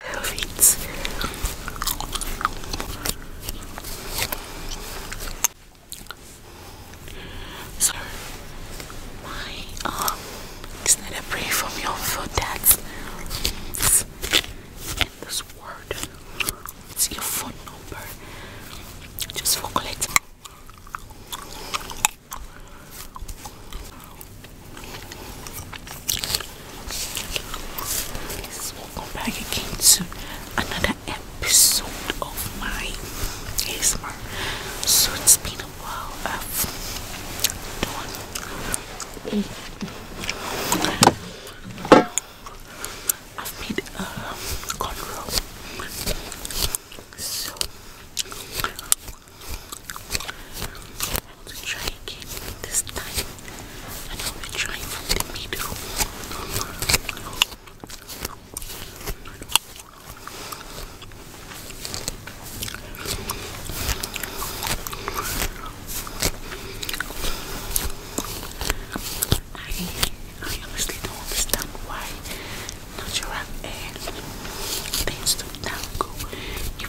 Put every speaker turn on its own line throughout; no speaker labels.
Feet. So my um it's not a pray from your foot that's and this word it's your phone number just for collecting welcome back again to another episode of my ASMR. So it's been a while I've done. I've made a cornrow to try again this time and I will try from the I, I honestly don't understand why natural hair tends to tangle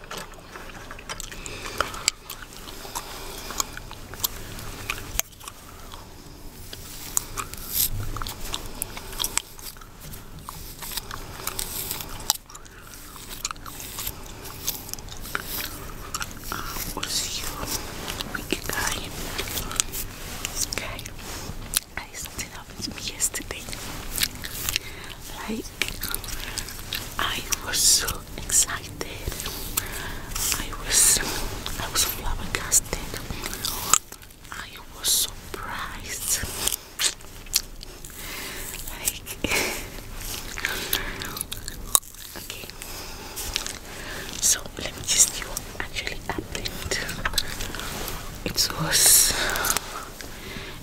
I'll see you when you guys. Okay. I, something happened to me yesterday. Like I was so excited. I was I was flabbergasted. I was surprised. Like okay. So let me just see what actually happened. It was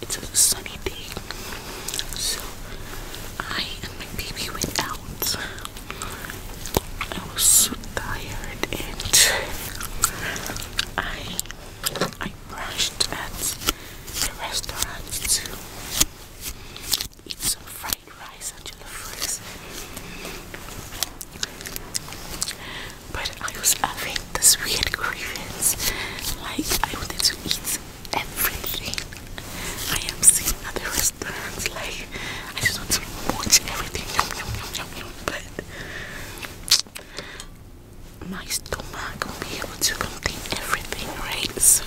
it's a sunny day. So I and my baby went out. I was so tired and I I brushed at the restaurant to eat some fried rice and jello fries but I was having this weird grievance. Like I wanted to eat everything I am seeing other restaurants. Like I just want to watch everything. Yum, yum, yum, yum, yum. But my stomach will be able to complete everything, right? so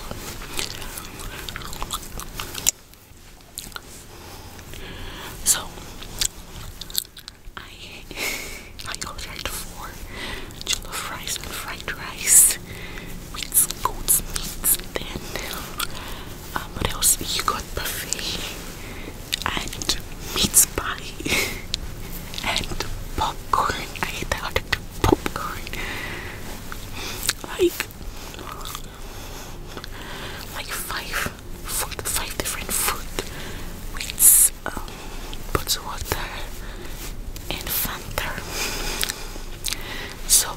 I I ordered four jollof rice and fried rice with goat's meat. Then, um, what else? You got buffet and meat pie and popcorn. I hate that I ordered popcorn. Like, like five five different food with um, water and Fanta. So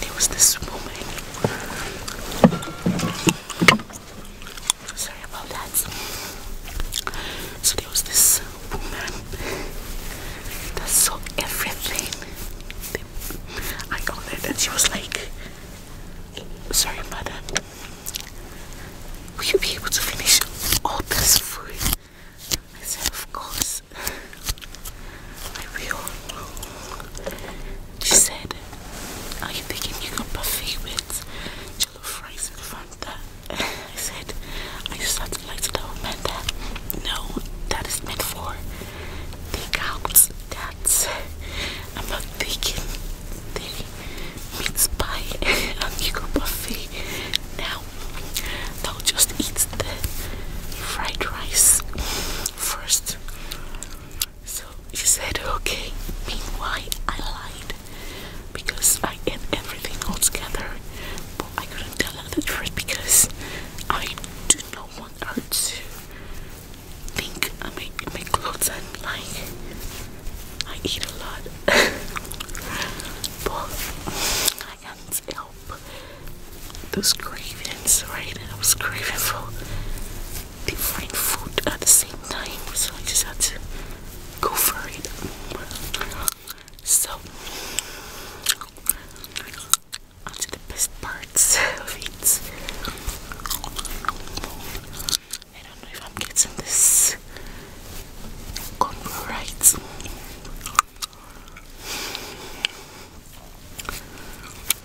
there was this woman. Sorry about that. So there was this woman that saw everything. I ordered, and she was like, "Sorry, madam." Will you be able to finish all this food? I said, Of course, I will. She said, Are you thinking you can buffet with jello fries and Fanta? I said, I just had to like to tell No, that is meant for take out. That's. I'm not taking. They meats pie and Eagle buffet. Now I'll just eat the fried rice first. So she said okay. Meanwhile I lied because I ate everything all together but I couldn't tell her the truth because I do not want her to think I make, clothes and like I eat a lot but I can't help those cravings right I was craving for different food at the same time so I just had to go for it so onto the best parts of it I don't know if I'm getting this contour right.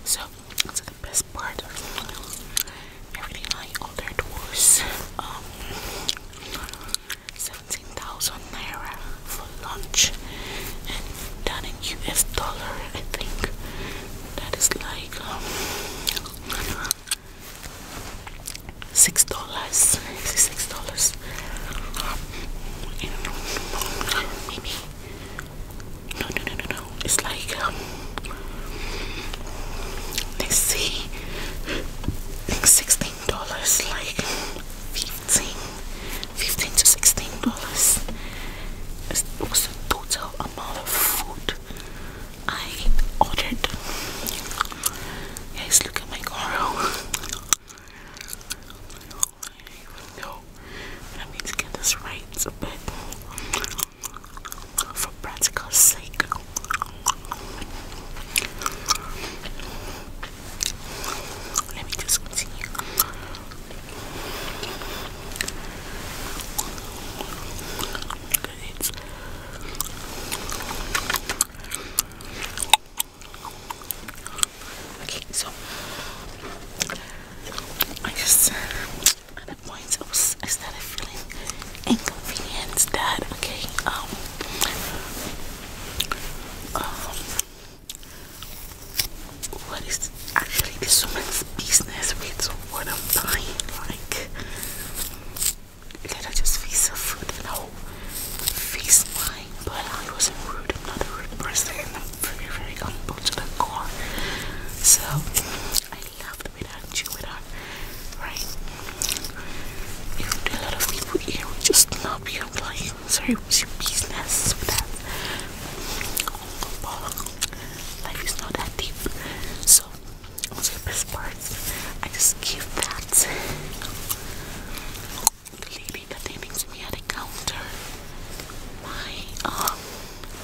So, that's the best part. Everything I ordered was um, 17,000 naira for lunch, and done in US dollar, I think that is like um, six dollars, six dollars, No, no, no, no, no. It's like um, let's see, sixteen dollars, like fifteen, fifteen to sixteen dollars. It was the total amount of food I ordered. Guys, look at my coral. I even know I need to get this right, but for practical sake, let me just continue okay, so I just at that point I was I started feeling inconvenienced that okay um um what is actually this woman's business We don't want to buy. Like, let her just face her food and I'll face mine. But I wasn't rude. I'm not a rude person. I'm very, very humble to the core. So I love loved with her, chew with her, right? You do a lot of people here would just not be like, sorry, it was your business but life is not that deep. So those are the best parts. I just give that the lady that they made to me at the counter my um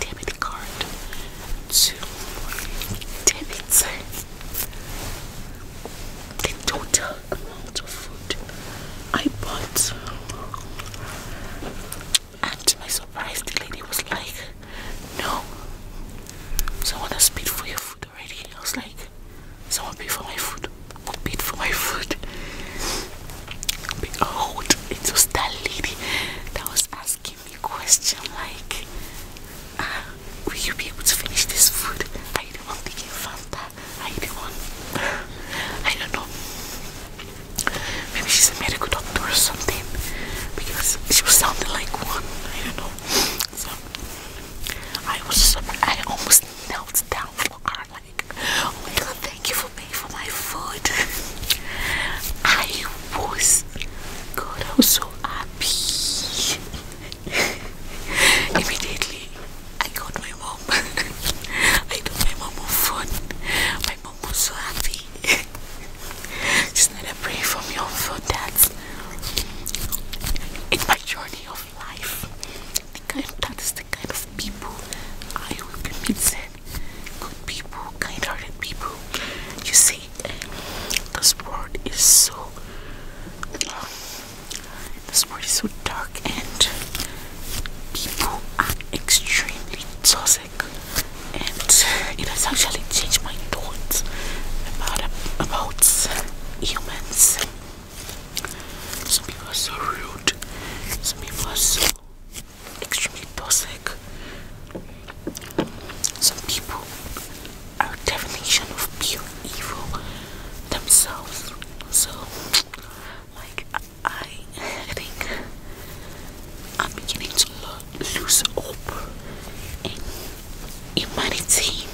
debit card to debit the total amount of food I bought and to my surprise the lady was like no someone has paid for your food already i was like someone paid for my food who paid for my food behold it was that lady that was asking me a like ah, will you be able to finish this food are you the one taking fanta are you the one i don't know Maybe she's a medical doctor or something because she was sounding like one. I don't know. So I was I almost knelt down for her. Like, oh my god, thank you for paying for my food. I was, God, I was so happy. Immediately, I got my mom. I got my mom on food. I'm so happy. Just need a break from your food that's in my journey of life. The kind that is the kind of people I will be meeting. Good people, kind-hearted people. You see, this world is so um, this world is so dark and people are extremely toxic and it has actually changed my thoughts about about humans. Some people are so rude, some people are so extremely toxic. Some people are definition of pure evil themselves. So like I, think I'm beginning to lose hope in humanity.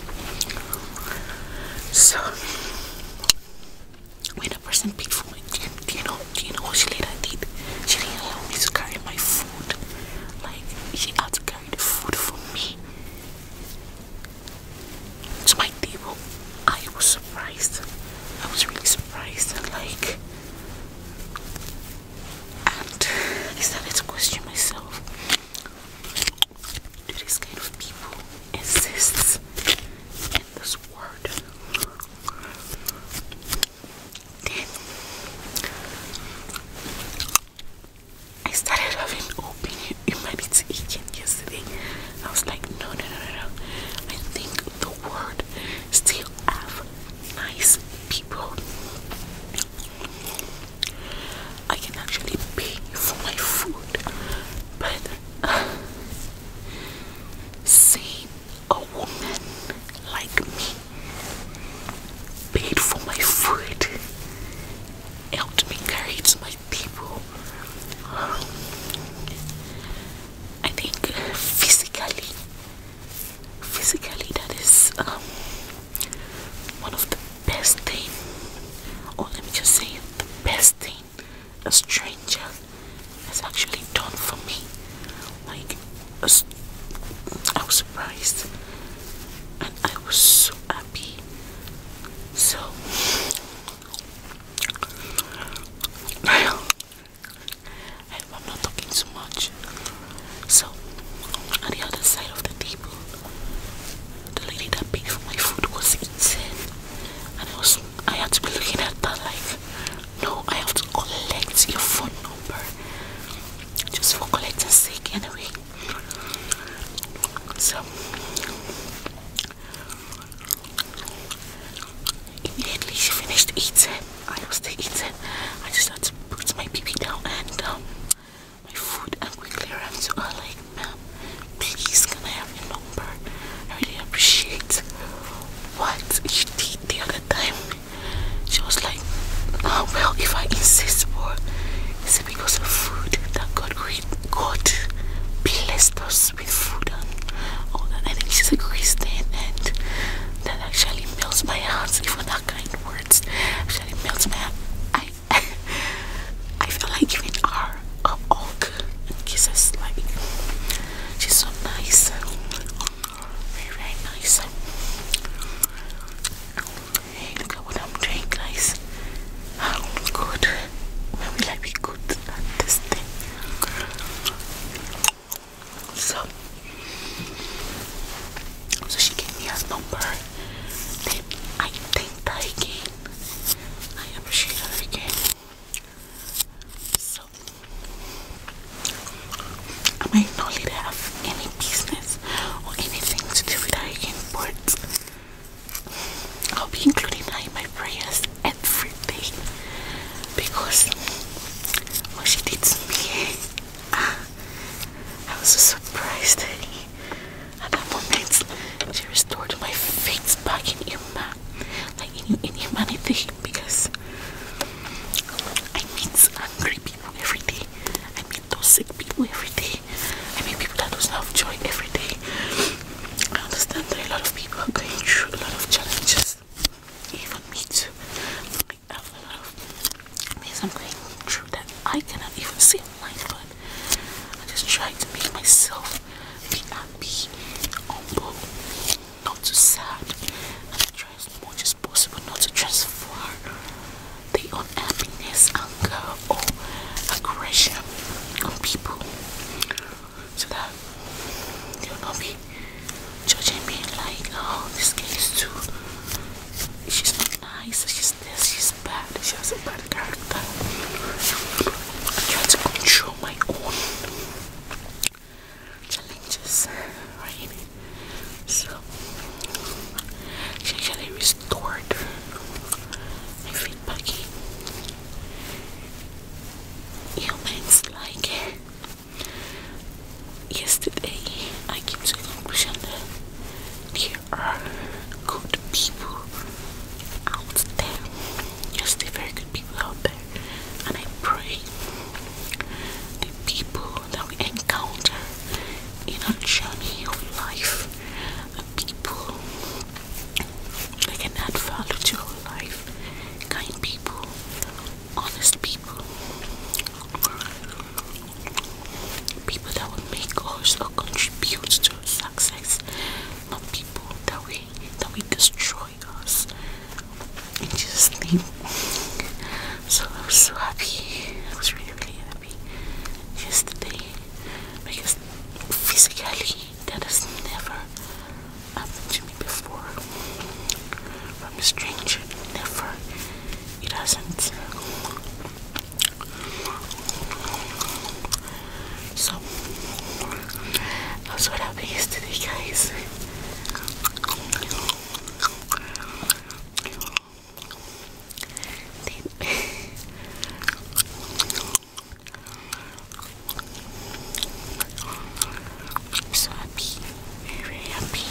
So when a person paid for me, do you, know? Do you know what she later did? She didn't allow me to carry my food. Like she had carried the food for me to my table. I was surprised. I was really surprised and like and I started to question myself. Do these kind of people exist in this world? Then I started having open humanity agent yesterday. I was like, no, no, no, no, no. I think the world still have nice people. I can actually pay for my food, but uh, seeing a woman like me paid for my food helped me carry to my people. I think physically, physically that is um, one of the best thing, or let me just say the best thing a stranger has actually done for me. Like, I was surprised, and I was so happy. So I I'm not talking too much. So, on the other side of the table, the lady that paid for my food was eating, and I was I had to be looking at that no, I have to collect your phone number just for collecting sake anyway. So. Immediately she finished eating, I was still it. I just had to put my baby down and um, my food and quickly ran to her like, ma'am, please can I have your number? I really appreciate what she did the other time. She was like, oh, well, if I insist for, is it because of food that God, God bless those." with food and all that. I think she's a Christian, and that actually melts my heart. Even that kind of words actually melts my I, I feel like giving her a hug and kisses. Like she's so nice, very very nice. Hey, look at what I'm doing, guys. Oh, good. Maybe like be good at this thing. So, so she gave me a number. Then I think again. I appreciate her again. So, I might not later have any business or anything to do with her again, but I'll be including that my prayers every day because when she did to me, ah, I was so surprised. At that moment, she restored my faith back in Ima, like in, in humanity, because I meet angry people every day. I meet those sick people every day. I meet people that do not have joy every day. I understand that a lot of people are going through a lot of challenges. Even me too. I have a lot of things I'm going through that I cannot even see online, but I just try to make myself be happy, humble, not too sad, and try as much as possible not to transfer the unhappiness, anger, or aggression on people so that they'll not be judging me like, oh, this girl is too, she's nice, she's this, she's bad, she a bad character. I try to control my own challenges, right? So, she actually restored my feedback humans like yesterday I came to the conclusion there are good people out there. Yes, there are good people out there. And I pray the people that we encounter in our journey of life, the people they can add value to your life. Kind people, honest people, people that will make us or contribute to success, not people that we that we destroy us. In Jesus' name. So I was so happy. I was really really happy yesterday because physically that has never happened to me before from a stranger never it hasn't so that's what happened yesterday guys then, I'm so happy, very, happy.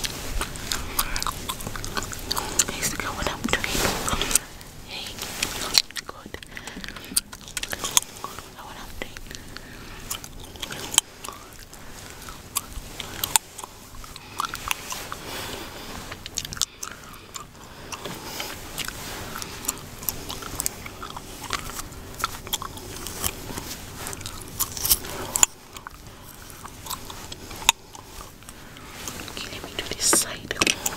Guys, what I'm doing. Hey, good. what I'm doing. Okay, let me do this side. Okay,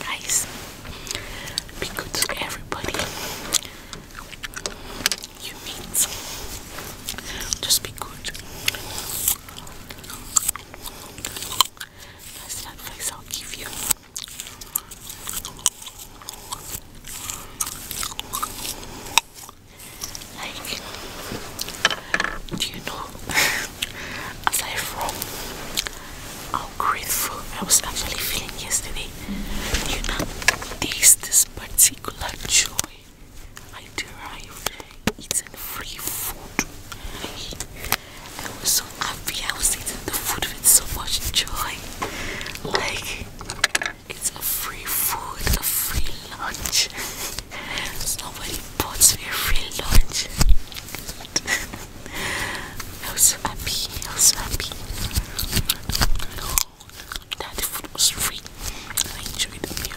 Guys, be good to everybody you meet. Just be good. That's the I'll give you. Like, do you know? aside from how grateful I was actually feeling yesterday, you know, taste this particular joy I derived eating free food. I was so happy I was eating the food with so much joy. Like, it's a free food, a free lunch. Nobody bought me a free lunch. I was happy, I was happy. that food was free. I enjoyed the meal.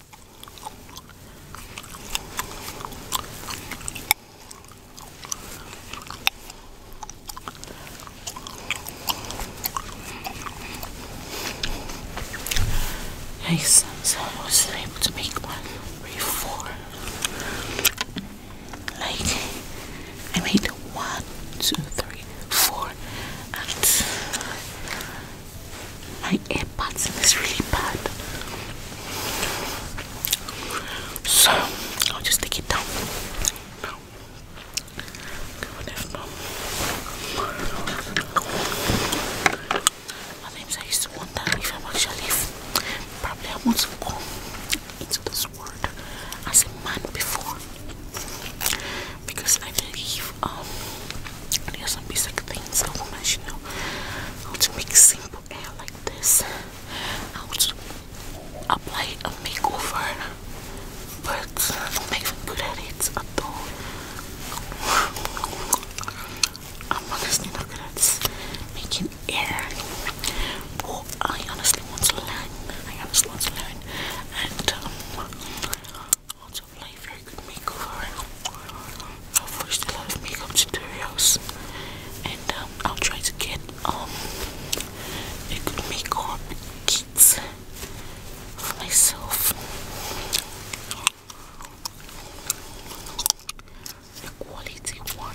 Hastens, I wasn't able to make one Like, I made one, two, three, four, my earbuds and really bad. So I'll just take it down. Now. At times I used to wonder if probably I want to go into this world as a man before because I believe um there's some basic things I will mention you know how to make simple air like this I want to apply a makeover but I'm not even good at it at all I'm honestly not good at making hair but I honestly want to learn I honestly want to learn and um Lots of life very good makeover. I've watched a lot of makeup tutorials and um, I'll try to get um, a good makeup kit for myself. quality one.